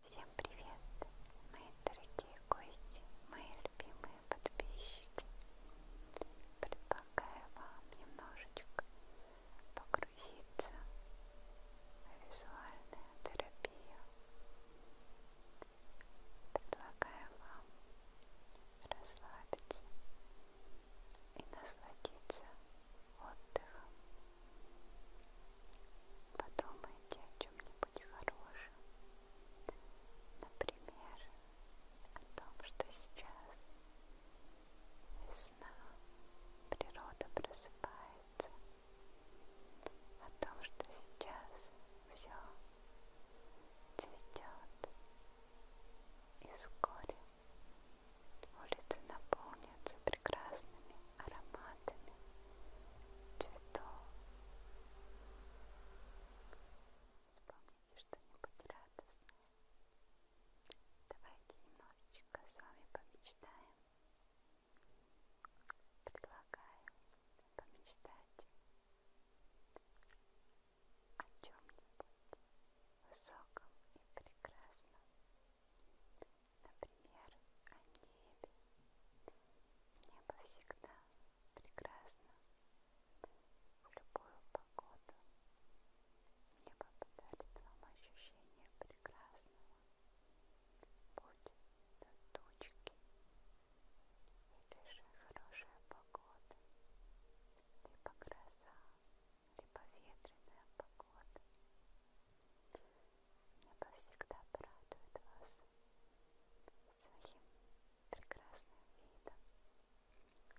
Всем привет, мои дорогие гости, мои любимые подписчики. Предлагаю вам немножечко погрузиться в визуальную терапию. Предлагаю вам расслабиться и насладиться отдыхом. Подумайте о чем-нибудь хорошем. Например, о том, что сейчас весна, природа просыпается, о том, что сейчас все цветет, и вскоре улицы наполнятся прекрасными ароматами цветов. Вспомните что-нибудь радостное. Давайте немножечко с вами помечтаем. Предлагаю помечтать о чем-нибудь высоком и прекрасном, например, о небе. Небо всегда прекрасно в любую погоду. Небо подарит вам ощущение прекрасного. Будь то тучки, Напиши хорошая погода, либо гроза, либо ветреная погода. Небо всегда порадует вас своим прекрасным видом.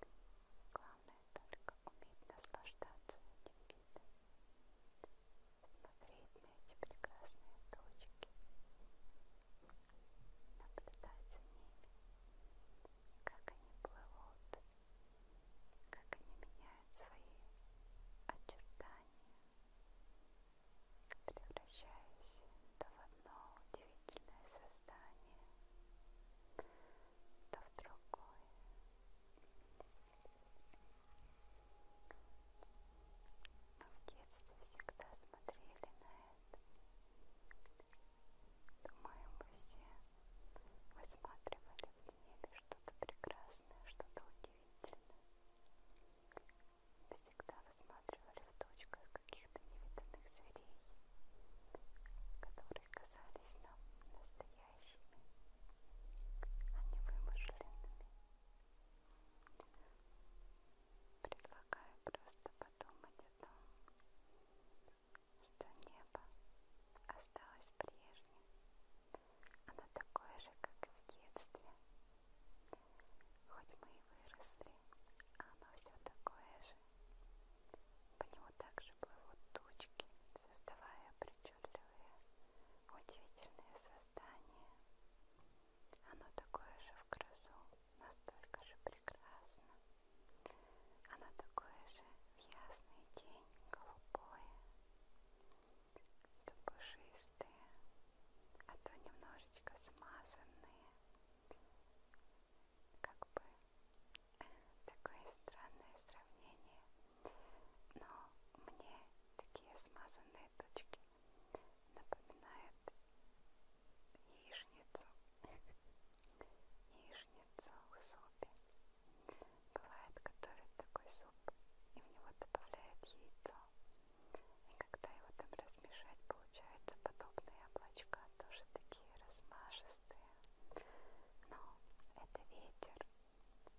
Главное только уметь наслаждаться этим видом. Смотреть на эти прекрасные точки, наблюдать за ними, как они плывут, как они меняют свои очертания, превращаясь то в одно удивительное создание, то в другое. Мы в детстве всегда смотрели на это. Думаю, мы все высматривали в небе что-то прекрасное, что-то удивительное. Мы всегда высматривали в точках каких-то невиданных зверей, которые казались нам настоящими, а не вымышленными. Предлагаю просто подумать о том, что небо осталось прежним. Оно такое же, как и в детстве. Хоть мы и выросли, а оно все такое же. По нему также плывут тучки, создавая причудливые, удивительные создания. Оно такое же в грозу, настолько же прекрасно. Оно такое же в ясный день, голубое, то пушистое, а то немножечко смазанные. Как бы такое странное сравнение. Но мне такие смазанные точки напоминает яичницу. Яичница в супе. Бывает, готовят такой суп, и в него добавляют яйцо. И когда его там размешать, получаются подобные облачка, тоже такие размашистые. Но это ветер,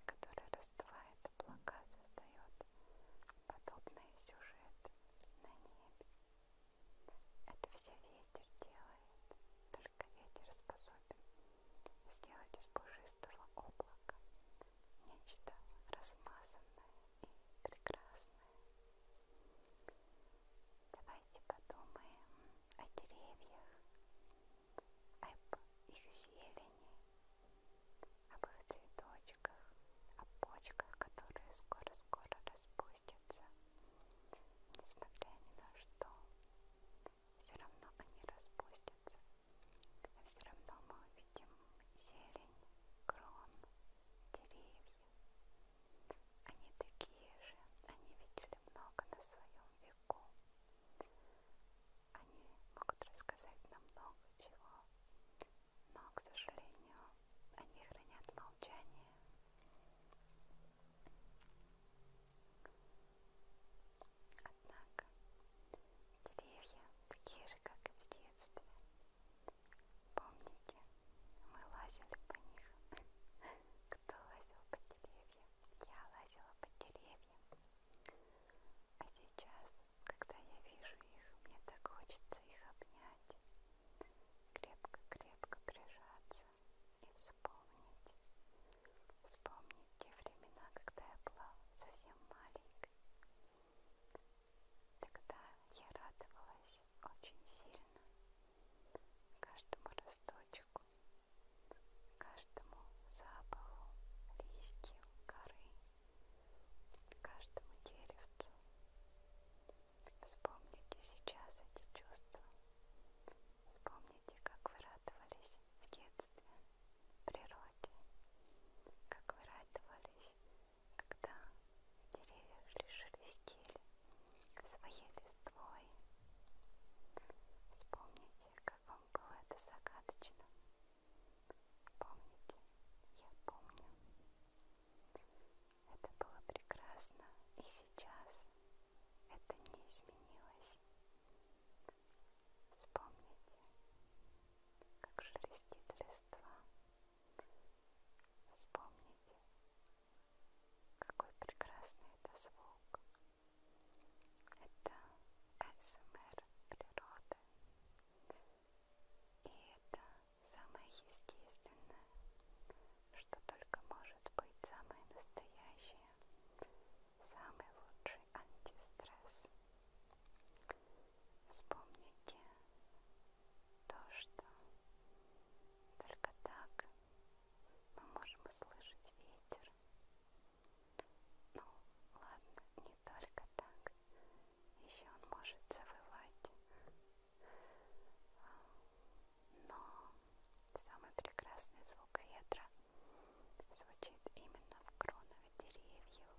который раздувает облака, создает подобные сюжеты на небе. Это все ветер делает, только ветер способен сделать из пушистого облака нечто размазанное и прекрасное. Давайте подумаем о деревьях, об их зелени, жизни, об их цветочках, о почках, которые скоро-скоро распустятся. Несмотря ни на что, все равно они распустятся. Все равно мы увидим зелень, крон, деревья. Они такие же, они видели много на своем веку. Они могут рассказать нам много чего но, к сожалению, они хранят молчание. Однако деревья такие же, как и в детстве. Помните, мы лазили по них. Кто лазил по деревьям? Я лазила по деревьям. А сейчас, когда я вижу их, мне так хочется их обнять, крепко-крепко прижаться и вспомнить. Вспомнить те времена, когда я была совсем маленькой. Тогда я радовалась очень сильно каждому росточку, каждому запаху листьев, коры каждому деревцу. Вспомните сейчас эти чувства. Вспомните, как вы радовались в детстве, природе, как вы радовались, когда деревья шелестели своей листвой. Вспомните, как вам было это загадочно, Помните, я помню. Это было прекрасно, и сейчас это не изменилось. Вспомните, как шелестит листва. Вспомните, какой прекрасный это звук. Это СМР эм природы. И это самое естественное, что только может быть самое настоящее, самый лучший антистресс. Вспомните то, что только так мы можем услышать ветер. Ну, ладно, не только так еще он может завывать. Но самый прекрасный звук ветра звучит именно в кронах деревьев.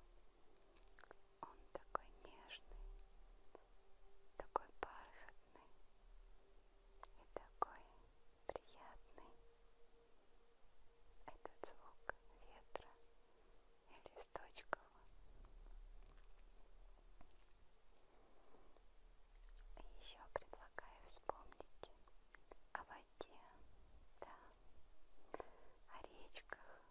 Он такой нежный, такой бархатный и такой приятный. Этот звук ветра листочков. И еще предлагаю вспомнить о воде, да, о речках,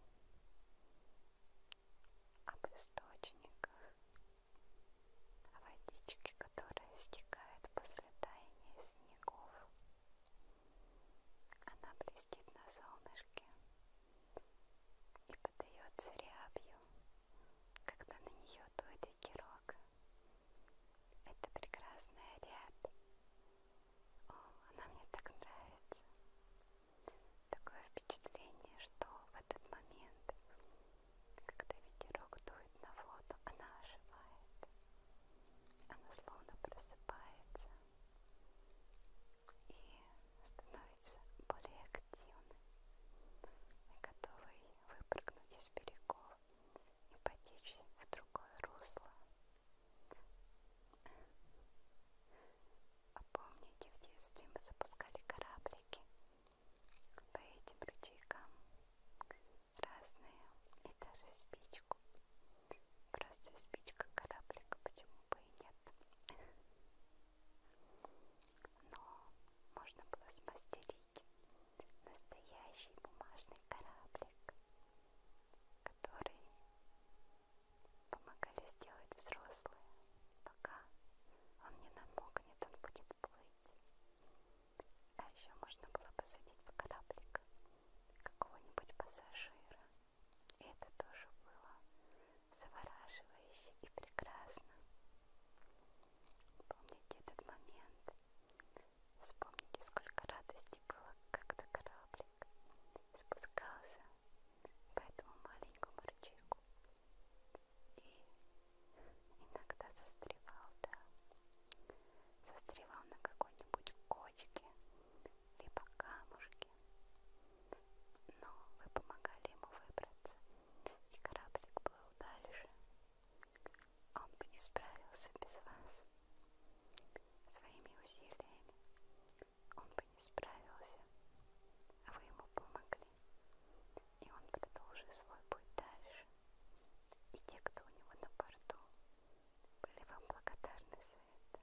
об источниках, о водичке, которая стекает после таяния снегов. Она блестит на солнышке и подается рябью, когда на нее дует ветерок. Это прекрасная рябь. О, она мне так нравится. Такое впечатление, что в этот момент, когда ветерок дует на воду, она оживает. Она словно просыпается и становится более активным и готовый выпрыгнуть из берегов и потечь в другое русло. А помните, в детстве мы запускали кораблики по этим ручейкам разные и даже спичку Просто спичка кораблика, почему бы и нет. Но можно было смастерить настоящий бумажный кораблик, который помогали сделать взрослые. Пока он не намокнет, он будет плыть. А еще можно было посадить в кораблик какого-нибудь пассажира это тоже было завораживающе и прекрасно. Помните этот момент? Вспомните, сколько радости было, когда кораблик спускался по этому маленькому рычагу и иногда застревал, да, застревал на какой-нибудь кочке либо камушки. Но вы помогали ему выбраться, и кораблик плыл дальше. Он бы не справился без вас. Своими усилиями он бы не справился. Вы ему помогли, и он продолжил свой путь дальше. И те, кто у него на борту, были вам благодарны за это.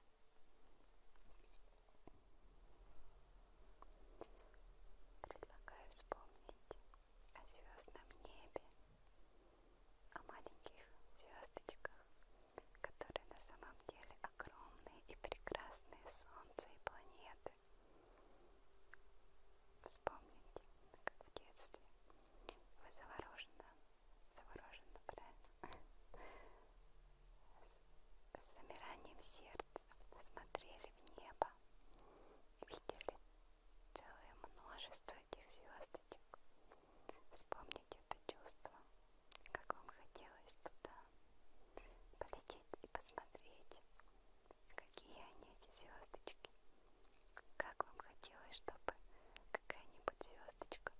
Предлагаю вспомнить о звездном небе, о маленьких звездочках, которые на самом деле огромные и прекрасные солнце и планеты. Вспомните, как в детстве вы завороженно завороженно, правильно? С замиранием сердца смотрели в небо, видели целое множество этих звездочек. Вспомните это чувство, как вам хотелось туда полететь и посмотреть, какие они эти звездочки, как вам хотелось, чтобы Какая-нибудь звездочка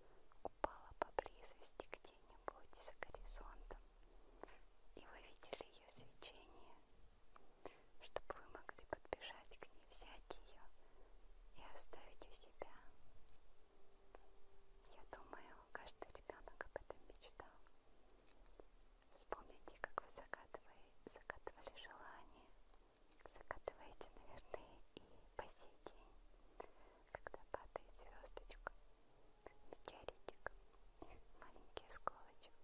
упала поблизости где-нибудь за горизонтом, и вы видели ее свечение, чтобы вы могли подбежать к ней, взять ее и оставить у себя. Я думаю, каждый ребенок об этом мечтал. Вспомните, как вы загадывали, загадывали желание, закатываете наверное и по сей день, когда падает звездочка, метеоритик, маленький осколочек.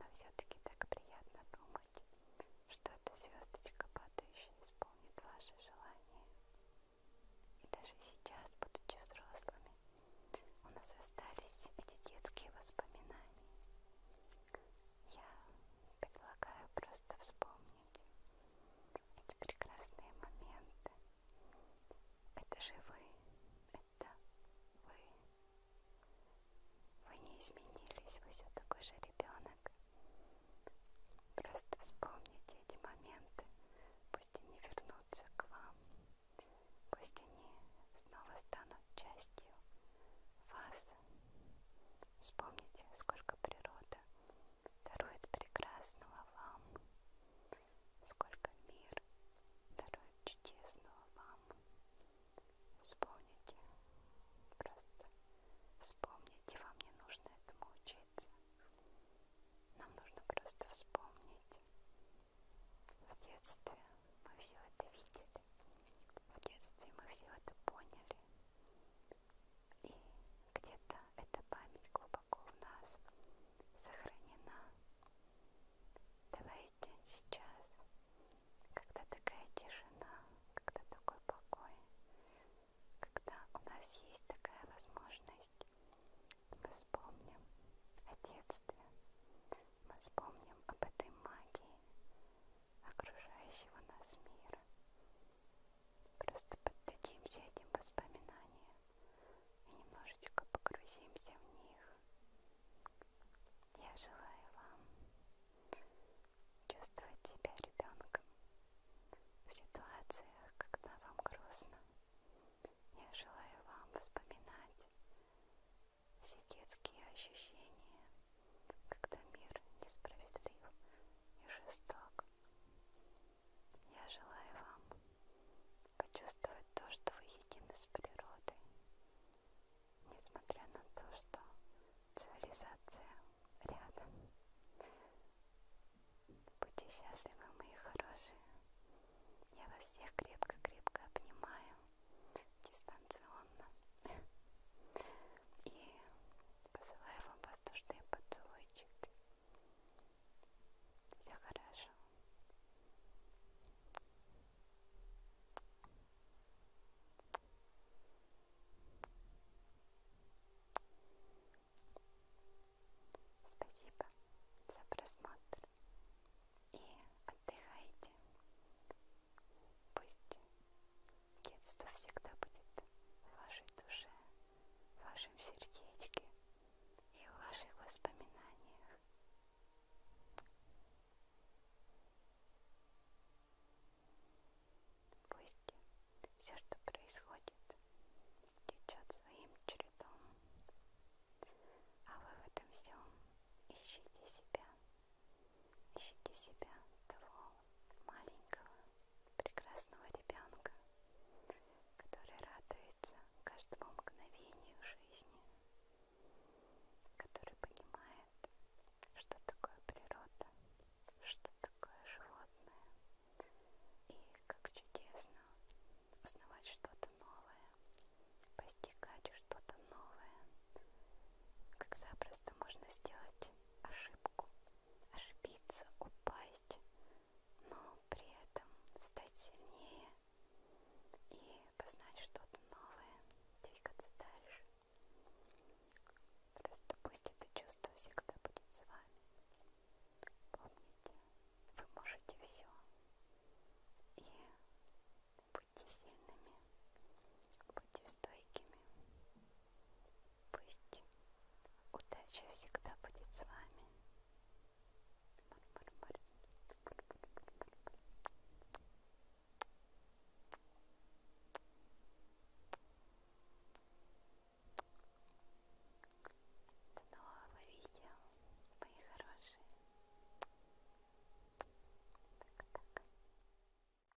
Но все-таки так приятно думать, что эта звездочка падающая исполнит ваши желания. И даже сейчас, будучи взрослыми, у нас остались эти детские воспоминания. Я предлагаю просто вспомнить эти прекрасные моменты. Это же вы, это вы. Вы не изменились, вы все такой же ребенок. Просто вспомните эти моменты, пусть они вернутся к вам, пусть они снова станут частью вас. Вспомните, сколько природа дарует прекрасного вам, сколько мир дарует чудесного вам. Вспомните, просто вспомните, вам не нужно этому учиться. Нам нужно просто вспомнить. В детстве мы все это видели, в детстве мы все это поняли. И где-то эта память глубоко в нас сохранена. Давайте сейчас, когда такая тишина, когда такой покой, когда у нас есть такая возможность, мы вспомним о детстве, мы вспомним об этой магии, окружающего нас мира. Просто поддадимся этим воспоминаниям и немножечко погрузимся в них. Я желаю вам чувствовать себя ребенком в ситуациях, когда вам грустно. Я желаю вам вспоминать все детские ощущения, когда мир несправедлив и жесток. Я желаю вам почувствовать то, что вы едины с природой, несмотря на то, что цивилизация рядом. Будьте счастливы, мои хорошие. Я вас всех крепко-крепко обнимаю дистанционно. И Посылаю вам воздушные поцелуйчики. Все хорошо. Спасибо за просмотр и отдыхайте. Пусть детство всегда будет в вашей душе, в вашем сердечке и в ваших воспоминаниях. Пусть все, что происходит, течет своим чередом, а вы в этом всем ищите себя. Ищите себя, того маленького, прекрасного ребенка, который радуется каждому мгновению жизни, который понимает, что такое природа, что такое животное, и как чудесно узнавать что-то новое, постигать что-то новое, как запросто можно сделать ошибку, ошибиться, упасть, но при этом стать сильнее и познать что-то новое, двигаться дальше. Просто пусть это чувство всегда будет с вами. Помните, вы можете все. И будьте сильными, будьте стойкими. Пусть удача всегда будет с вами. До нового видео, мои хорошие. Так, так.